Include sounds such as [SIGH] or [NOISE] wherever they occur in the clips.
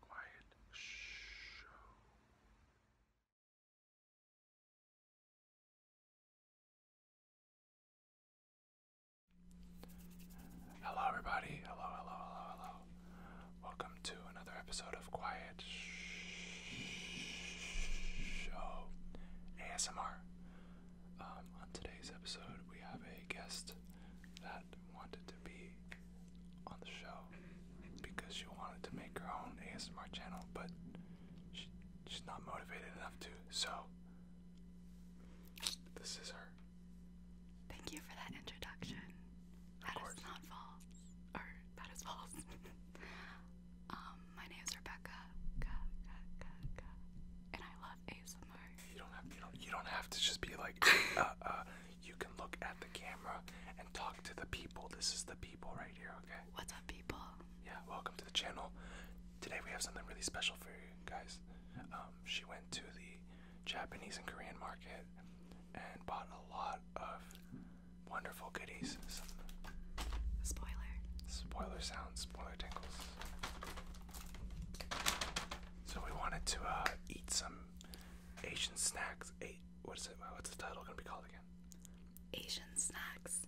Quiet show. Hello, everybody. Hello, hello, hello, hello. Welcome to another episode of Quiet Show ASMR. Um, on today's episode, we have a guest that wanted to be on the show because she wanted to make her own ASMR channel, but she's not motivated enough to. So, this is her. Thank you for that introduction. Of not false. Or, that is false. [LAUGHS] Um, my name is Rebecca. And I love ASMR. You don't have, you you don't have to just be like, uh, uh, you can look at the camera and talk to the people. This is the people right here, okay? What's up, people? Yeah, welcome to the channel. Today we have something really special for you guys. Um, she went to the Japanese and Korean market and bought a lot of wonderful goodies. spoiler. Spoiler sounds, spoiler tingles. So we wanted to uh, eat some Asian snacks. A what is it? What's the title gonna be called again? Asian snacks.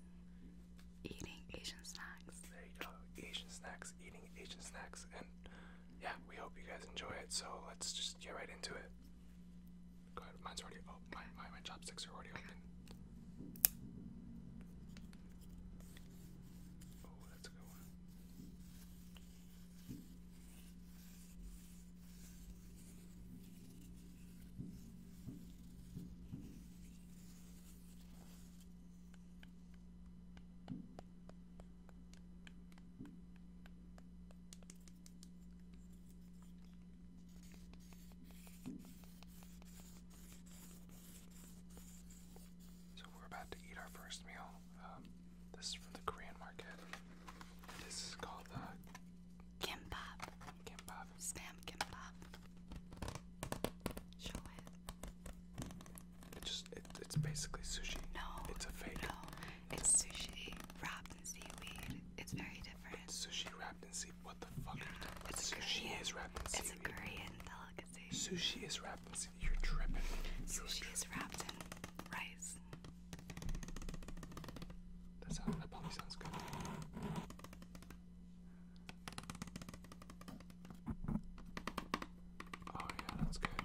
Eating Asian snacks. There you go. Asian snacks. Eating Asian snacks. And yeah, we hope you guys enjoy it. So let's just get right into it. Mine's already. Oh, my my, my chopsticks are already open. Oh, that's a good one. So we're about to eat our first meal. Um, this is from the Korean market. This is called the uh, kimbap. Kimbap. Spam kimbap. Show it. It just it, it's basically sushi. No. It's a fake. No. It's sushi wrapped in seaweed. It's very different. sushi wrapped in seaweed. What the fuck sushi is wrapped in seaweed. It's a Korean delicacy. Sushi is wrapped in seaweed rice. you Sushi is wrapped in rice. That sounds. That probably sounds good. Oh yeah, that's good.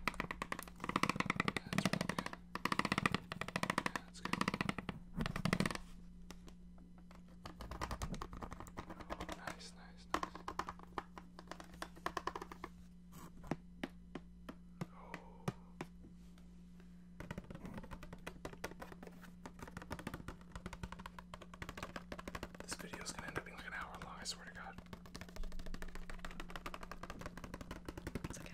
That's real good. Yeah, that's good. nice, nice, nice. This video is gonna end up being like an hour long, I swear to God. It's okay.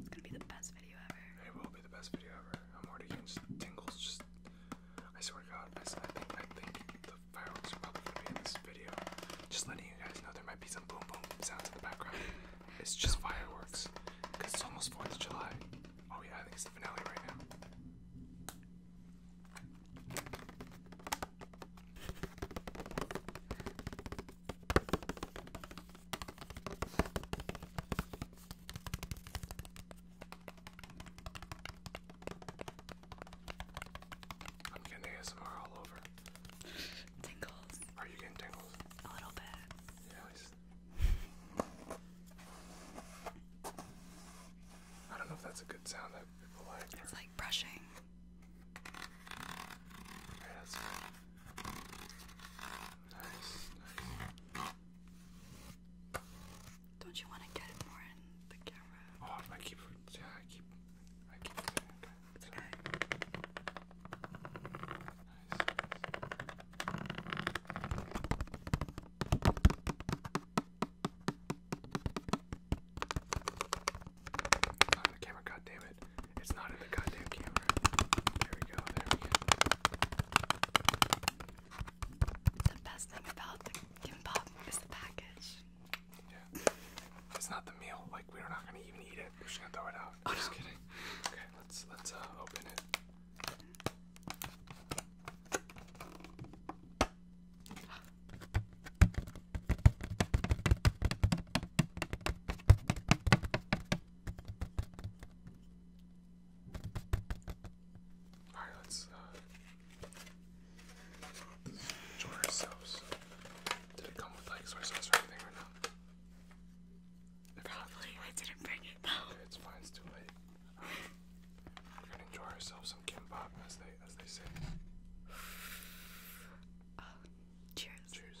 It's gonna be the best video ever. It will be the best video ever. I'm already getting tingles. Just, I swear to God, I, think I think fireworks are probably in this video. Just letting you guys know there might be some boom boom sounds in the background. It's just fireworks. Cause it's almost 4th of July. Oh yeah, I think it's the finale right now. I'm getting ASMR all over. Tingles. Are you getting tingles? A little bit. Yes. I don't know if that's a good sound that people like. It's like brushing. Yeah, Nice, nice. Don't you want to get more in the camera? Oh, I keep, yeah, I keep, I keep. It's Not in the camera, god it. It's not in the goddamn camera. There we go, there we go. The best thing about the Gimpop is the package. Yeah. It's not the meal. Like we're not gonna even eat it. We're just gonna throw it out. I'm just kidding. Okay, let's let's uh, open it. All right, let's uh, Soy sauce. Did it come with like soy sauce or anything or not? Probably. I didn't bring it it's fine. It's too late. we're gonna enjoy ourselves some kimbap, as they as they say. Oh, cheers. Cheers.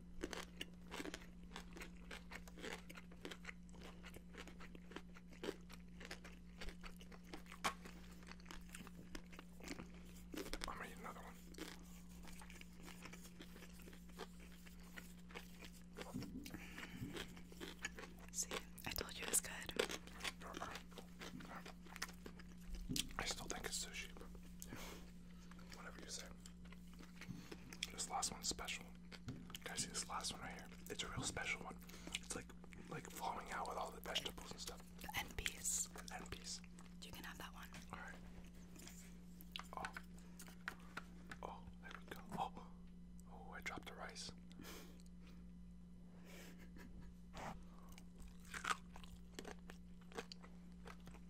I'm gonna eat another one. See, I told you it was good. I still think it's sushi, but whatever you say. This last one's special. Guys, see this last one right here? It's a real special one. It's like like flowing out with all the vegetables and stuff. end piece. end piece. You can have that one. All right. Oh. Oh, there we go. Oh. Oh, I dropped the rice. [LAUGHS]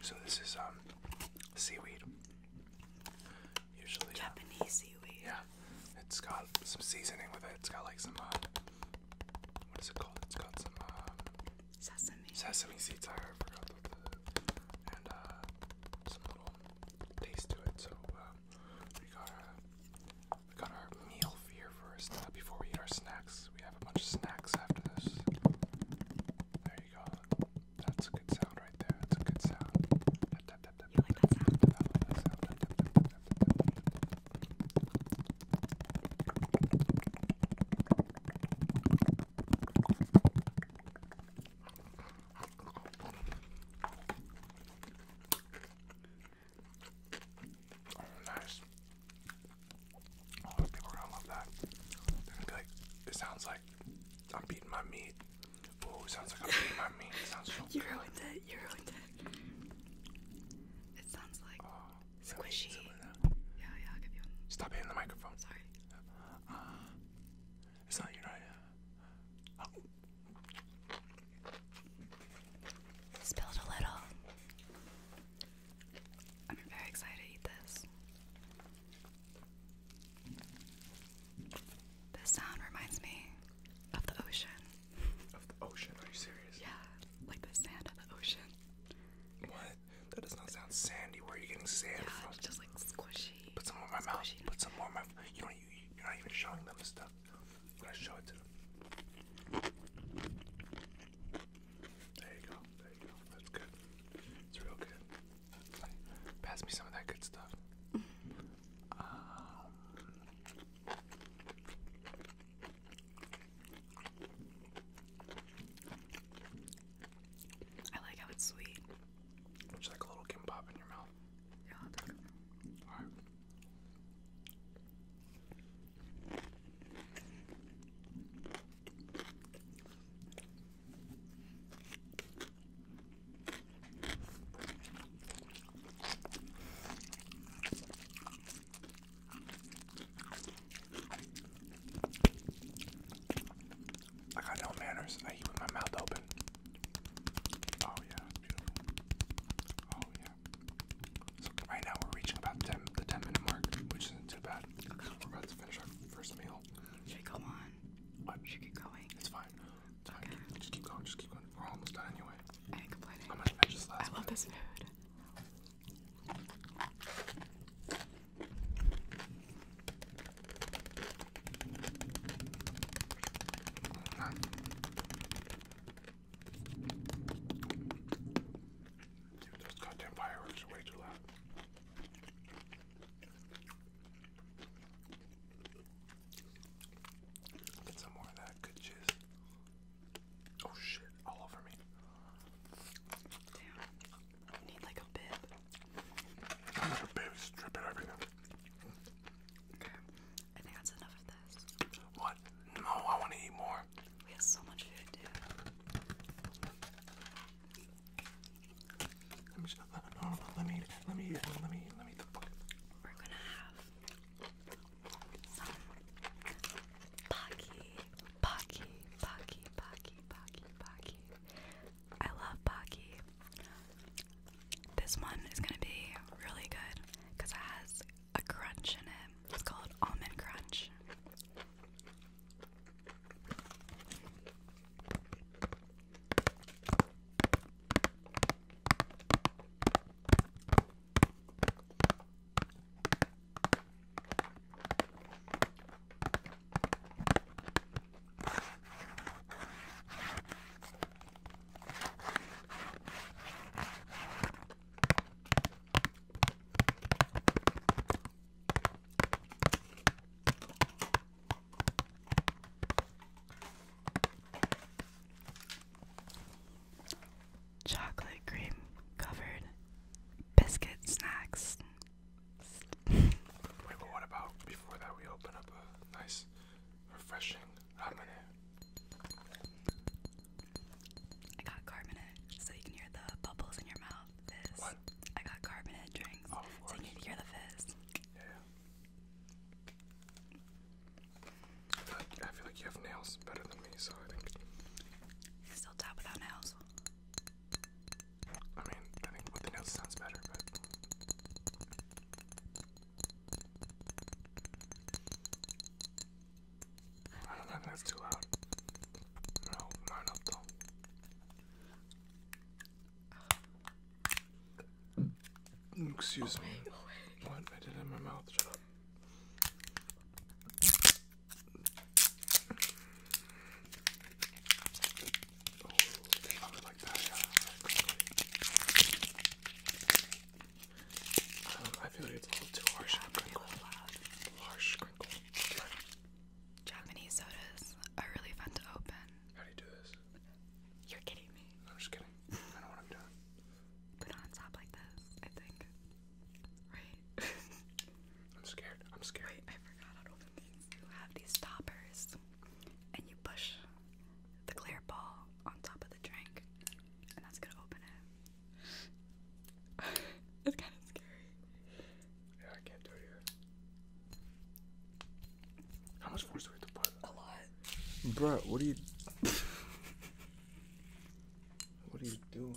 So, this is um, seaweed. Usually um, Japanese seaweed. Yeah, it's got some seasoning with it. It's got like some uh, what is it called? It's got some um, Sesame. seeds. I and uh, some little taste to it. So uh, we got our meal here first before we eat our snacks. We have a bunch of snacks after this. There you go. That's a good sound right there. That's a good sound. Oh, nice. Oh, people are gonna love that. They're gonna be like, it sounds like I'm beating my meat. Oh, it sounds like I'm beating my meat. It sounds so [LAUGHS] You good. ruined it. You ruined it. It sounds like uh, squishy. Yeah, yeah, I'll give you one. Stop hitting the microphone. Sorry. Uh, it's not United. Oh. a little. I'm very excited to eat this. This sound reminds me of the ocean. Of the ocean? Are you serious? Yeah, like the sand of the ocean. What? that does not sound sandy. Where are you getting sand from? It's just like squishy. Put some more in my squishy. mouth. Put some more in my. You don't. You, you're not even showing them the stuff. I'm gonna show it to them. There you go. There you go. That's good. It's real good. Pass me some of that good stuff. Um, I like how it's sweet. It's like a little kimbap in your mouth. Yeah, I got no manners. I eat with my mouth open. Oh yeah, Oh yeah. right now we're reaching about the 10 minute mark, which isn't too bad. We're about to finish our first meal. Should we go on? What? Should we keep going? It's fine. Just keep going, just keep going. We're almost done anyway. I ain't complaining. I'm gonna finish last I love this food. Dude, those goddamn fireworks are way too loud. Get some more of that good cheese. Oh shit, all over me. You need like a bib. I need a bib, strip it everything. Okay, I think that's enough of this. What? No, I want to eat more. We have so much food, dude. Let me just, uh, uh, no, no, no, let me let me let me let me We're gonna have some Pocky Pocky, Pocky, Pocky, Pocky, Pocky. I love Pocky. This one is gonna be really good because it has a crunch in it. It's called almond crunch. Chocolate cream covered biscuit snacks but what about before that we open up a nice, refreshing ramune? I got carbonate, so you can hear the bubbles in your mouth. What? I got carbonate drinks, oh, so you can hear the fizz. Yeah. I feel, like, you have nails better than me, so I think. still tap without nails. I mean, I think with the notes sounds better, but. I don't think that's too loud. No, not enough though. Excuse me. What? I did in my mouth. Shut up. I feel like it's a little too harsh Harsh crinkle. Japanese sodas are really fun to open. How do you do this? You're kidding me. I'm just kidding. I know what I'm doing. Put on top like this, I think. Right? [LAUGHS] I'm scared. I'm scared. I forgot how to open You have these stoppers, and you push the clear ball on top of the drink, and that's gonna open it. [LAUGHS] it's kind of scary. Yeah, I can't do it How much force do we have to put? A lot. Bruh, what are you. [LAUGHS] what are you doing?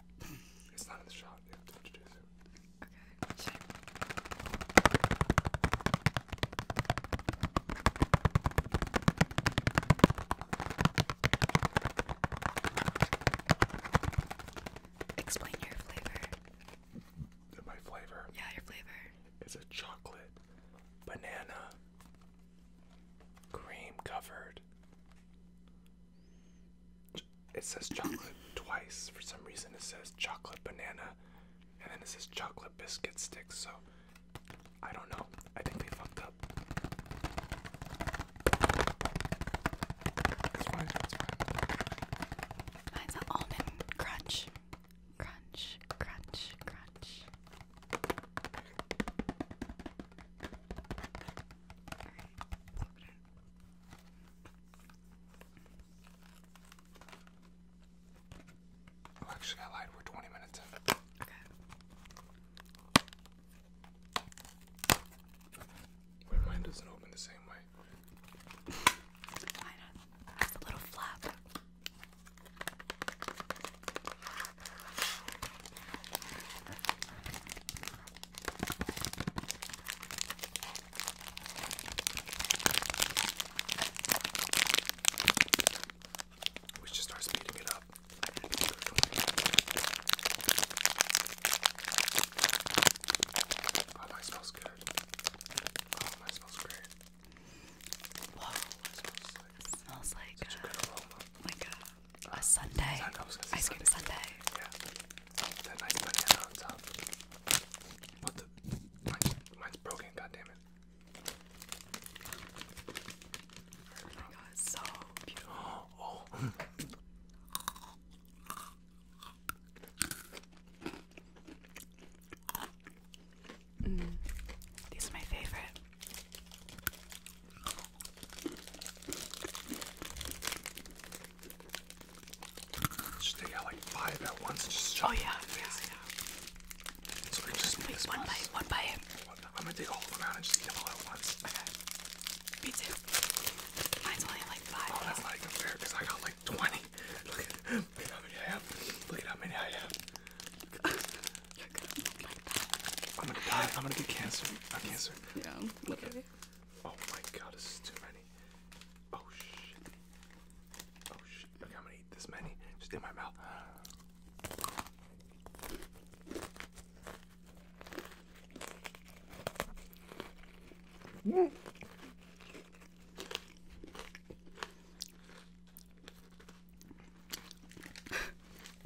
It's not in the shot. You have to introduce it. Okay. Explain your flavor. My flavor. Yeah, your flavor. It's a chocolate banana cream covered it says chocolate twice. For some reason, it says chocolate banana, and then it says chocolate biscuit sticks. So I don't know. I think they fucked up. It's fine. Mine's an almond crunch. Crunch, crunch, crunch actually, I lied. We're 20 minutes in. Okay. Wait, doesn't open the same way. Mine a little flap. We should start speeding it up. Oh, mine smells good. Oh, mine smells great. Whoa. smells like, smells like such a, uh, a a Sunday, ice cream Sunday. Yeah. That the? Mine's, mine's broken, goddammit. Oh my god, it's so beautiful. [GASPS] Oh. Mm. these are my favorite. Just take out like five at once. oh yeah, yeah, So we just Wait, one bite, one bite. I'm gonna take all of them and just eat all at once. Me too. Mine's only like five. Oh, that's not even fair because I got like twenty. [LAUGHS] Look at, how many I have. Look at how many I have. [LAUGHS] I'm gonna die. I'm gonna get cancer. I'm cancer. Yeah. Look at it. Oh my god, this is too many. Oh shit. Oh shit. Look I'm gonna eat this many. Just in my mouth.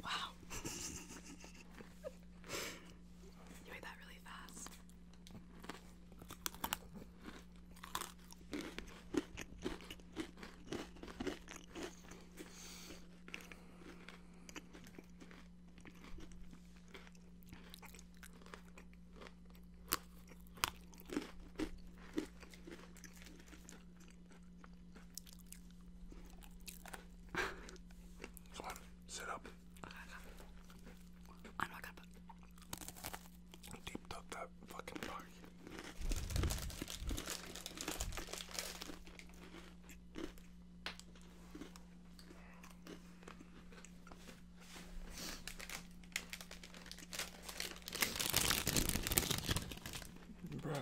[LAUGHS] wow. [LAUGHS] you made that really fast. Come on, sit up. I know I got that. Deep tuck that fucking body. Bruh.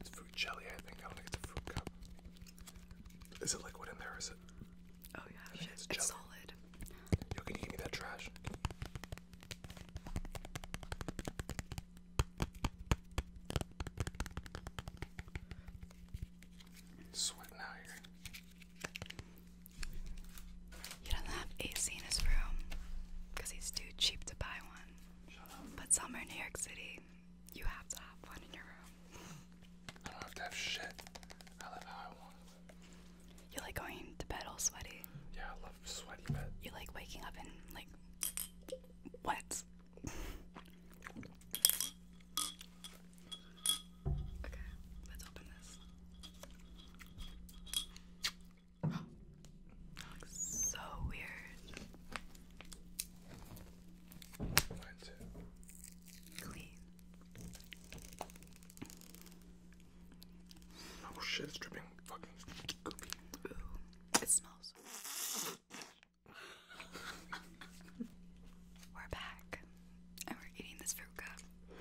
It's fruit jelly, I think. I want to get the fruit cup. Is it liquid in there? Is it? Oh yeah, it's solid. Yo, can you give me that trash? Sweating out here. He doesn't have AC in his room because he's too cheap to buy one. But somewhere in New York City, you have to have one in your room. I don't have to have shit. I live how I want. You like going to bed all sweaty. Yeah, I love sweaty bed. You like waking up and like wet. Okay, let's open this. That looks [GASPS] so weird. Mine too. Clean. Oh shit, it's dripping fucking goopy. it smells. [LAUGHS] We're back. And we're eating this fruca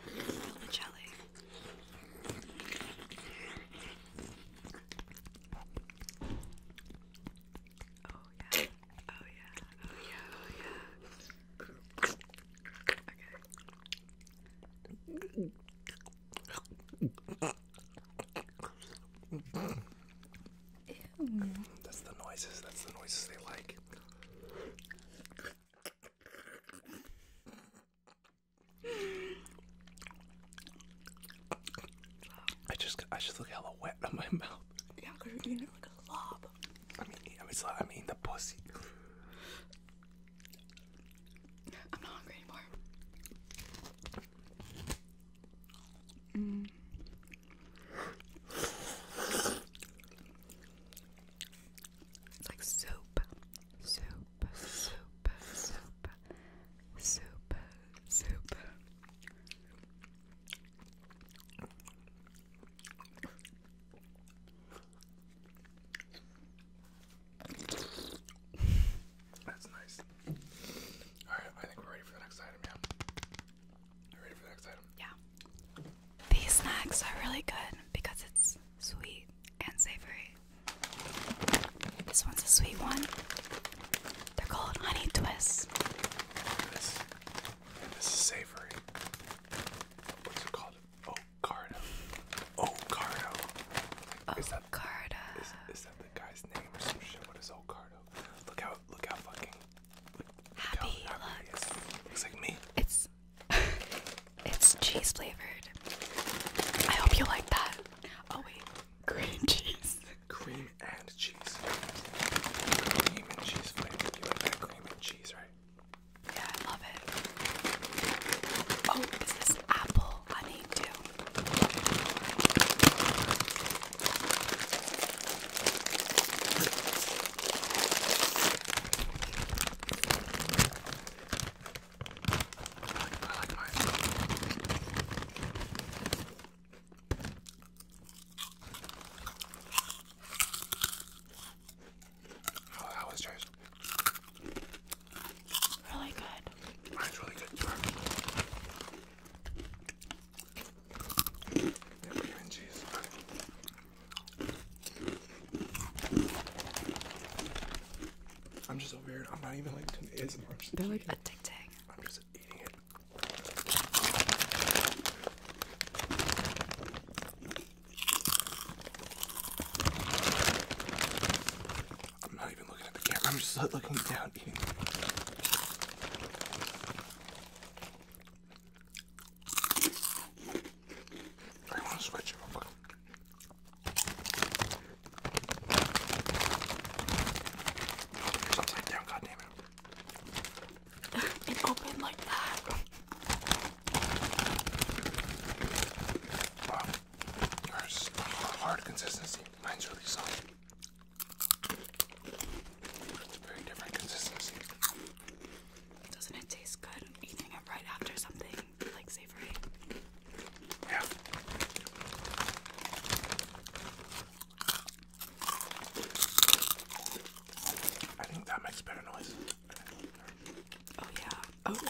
and jelly. Oh yeah. Oh yeah. Oh yeah. Oh yeah. Okay. Ew. That's the noises. That's the noises they like. I just, I just look hella wet on my [LAUGHS] mouth. Yeah, cause you're eating it like a slob. I mean, I mean, so, I mean the pussy. I'm not hungry anymore. Mm. It's like soup, soup, soup, soup, soup, soup. That's nice. All right, I think we're ready for the next item. Yeah. ready for the next item? Yeah. These snacks are really good because it's sweet and savory. This one's a sweet one. They're called honey twists. this, is savory. What's it called? Ocardo. Ocardo. Is that, Ocardo. Is, is that the guy's name or some shit? What is Ocardo? Look how, look how fucking. happy how looks. Looks like me. It's [LAUGHS] it's cheese flavored. I hope you like that. Oh wait, cream [LAUGHS] cheese. Cream and cheese. Cream and cheese flavored. You like that cream and cheese, right? Yeah, love it. Oh, is apple honey too? I like mine. Oh, that was yours? Really good. Mine's really good. Cream and cheese. I'm just so weird. I'm not even like They're like addicting. I'm just eating it. I'm not even looking at the camera. I'm just like, looking down eating. I want to switch real quick. it. [LAUGHS] it opened like that. Wow. hard consistency. Mine's really soft. It's a very different consistency. Doesn't it taste good? eating it right after something like savory. Yeah. I think that makes better noise. Oh yeah. Oh yeah.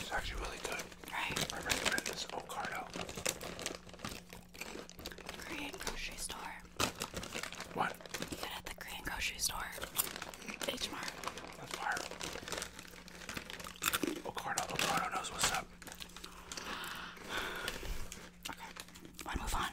It's actually really good. Right. I recommend this Ocado. Korean grocery store. What? Get at the Korean grocery store. H Mart. That's fire. Ocado, Ocado knows what's up. Okay, wanna move on?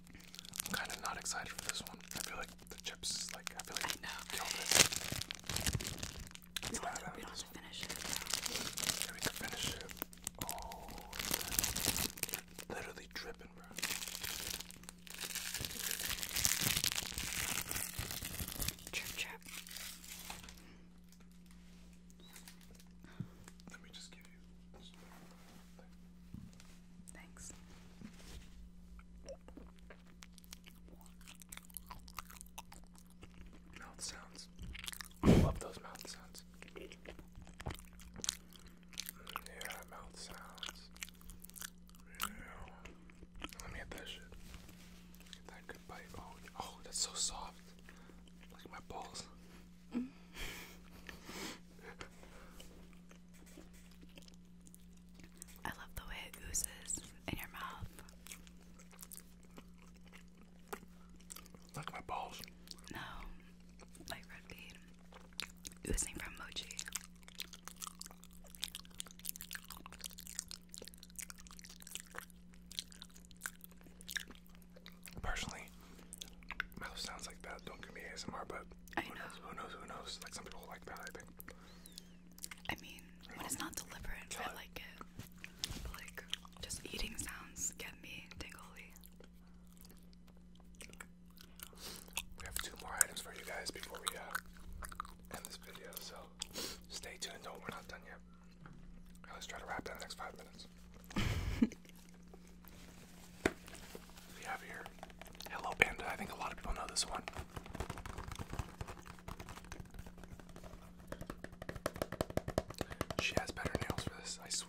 I'm kind of not excited for this one. I feel like the chips like I feel like I know. Kill we don't finish it. Yeah, we finish it. Oh, literally dripping, bro. Trip, trip. Let me just give you. Thanks. Mouth sounds. love those mouth sounds. Mm, yeah, mouth sounds. Let me get that shit. that good bite. Oh, oh, that's so soft. Like my balls. [LAUGHS] I love the way it oozes in your mouth. Like my balls. No, like red bean. Oozing from mochi. Personally, mouth sounds like that. Don't give me ASMR, but but I who know. knows? Who knows? Who knows? Like some people like that. I think. I mean, when it's not deliberate, Kill I it. like it. But like, just eating sounds get me tingly. We have two more items for you guys before we uh, end this video, so stay tuned. No, we're not done yet. Let's try to wrap that in the next five minutes. [LAUGHS] we have here Hello Panda. I think a lot of people know this one. She has better nails for this, I swear.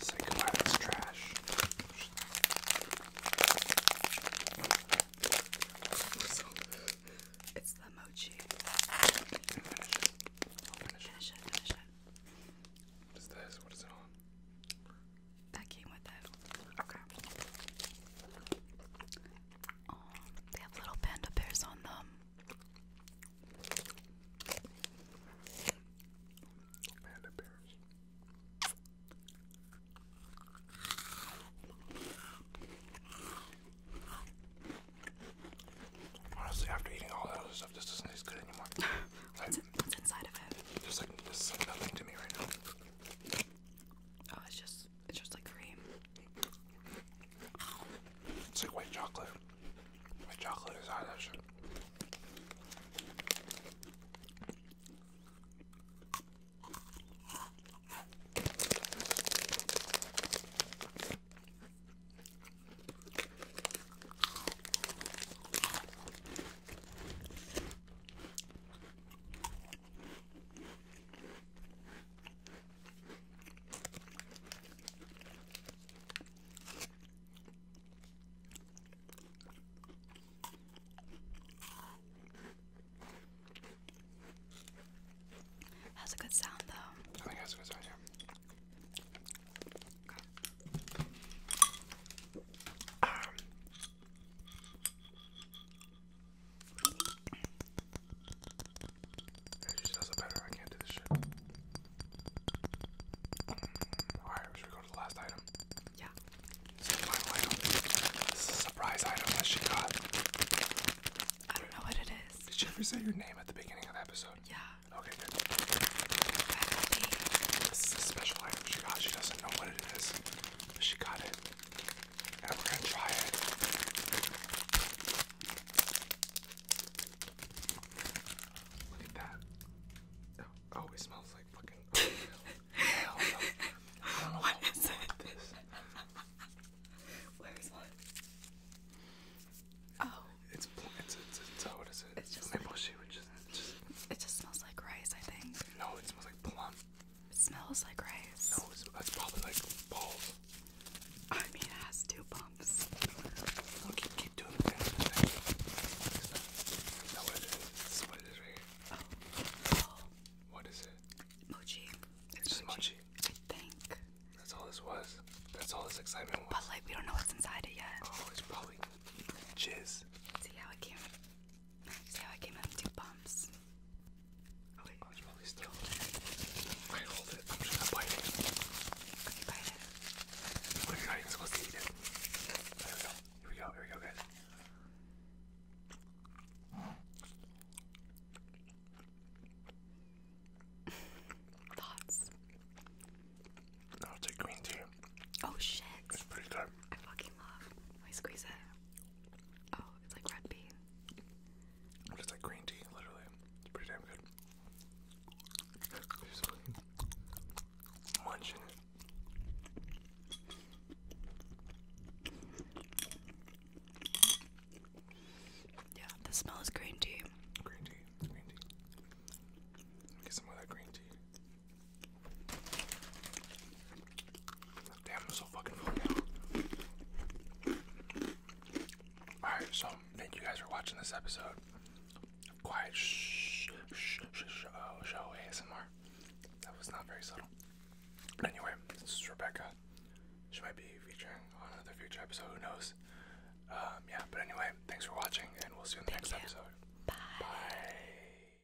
Say goodbye to this trash. So, it's the mochi. Finish it. I'll finish, finish it. Finish it. What is this? What is it on? That came with it. Okay. Um, they have little panda bears on them. Panda bears. Honestly, after eating all that other stuff, this doesn't taste good anymore. [LAUGHS] what's, inside of it? There's like, nothing to me right now. Oh, it's just it's just like cream. It's like white chocolate. White chocolate is out that shit. That's a good sound, though. I think that's a good sound, yeah. Um, she does it better, I can't do this shit. Alright, should we go to the last item? Yeah. final item. This is a surprise item that she got. I don't know what it is. Did she ever say your name at the beginning of the episode? Yeah. Okay, good. This is a special item she got. She doesn't know what it is, she got it we're gonna try it. Look at that. Oh, oh it smells like fucking [LAUGHS] what is This. Oh. It's it's it's uh, what is it? It's just, it just smells like rice, I think. No, it smells like plum. It smells like rice. No, it's, probably like balls. I mean, it has two bumps. No, keep, doing that. That's what it is. This what it is right here. Oh. What is it? Mochi. It's just mochi. I think. That's all this was. That's all this excitement was. But like, we don't know what's inside it yet. Oh, it's probably jizz. See how it came. See how I came out in two bumps? Oh hold it. I'm just gonna Okay, bite it. Well, you not even supposed to eat it. There we go. Here we go. Here we go, guys. [LAUGHS] Thoughts? I'll take green tea. Oh shit. It's pretty good. I fucking love. Let squeeze it. Oh, it's like red bean. it's like green tea, literally. It's pretty damn good. Yeah, the smell is green tea. Green tea, green tea. get some of that green tea. Damn, I'm so fucking full now. Alright, so thank you guys for watching this episode. Quiet shh, shh, shh, sh oh, show ASMR. That was not very subtle. But anyway, this is Rebecca. She might be featuring on another future episode, who knows? Um, yeah, but anyway, thanks for watching, and we'll see you in the next episode. Bye.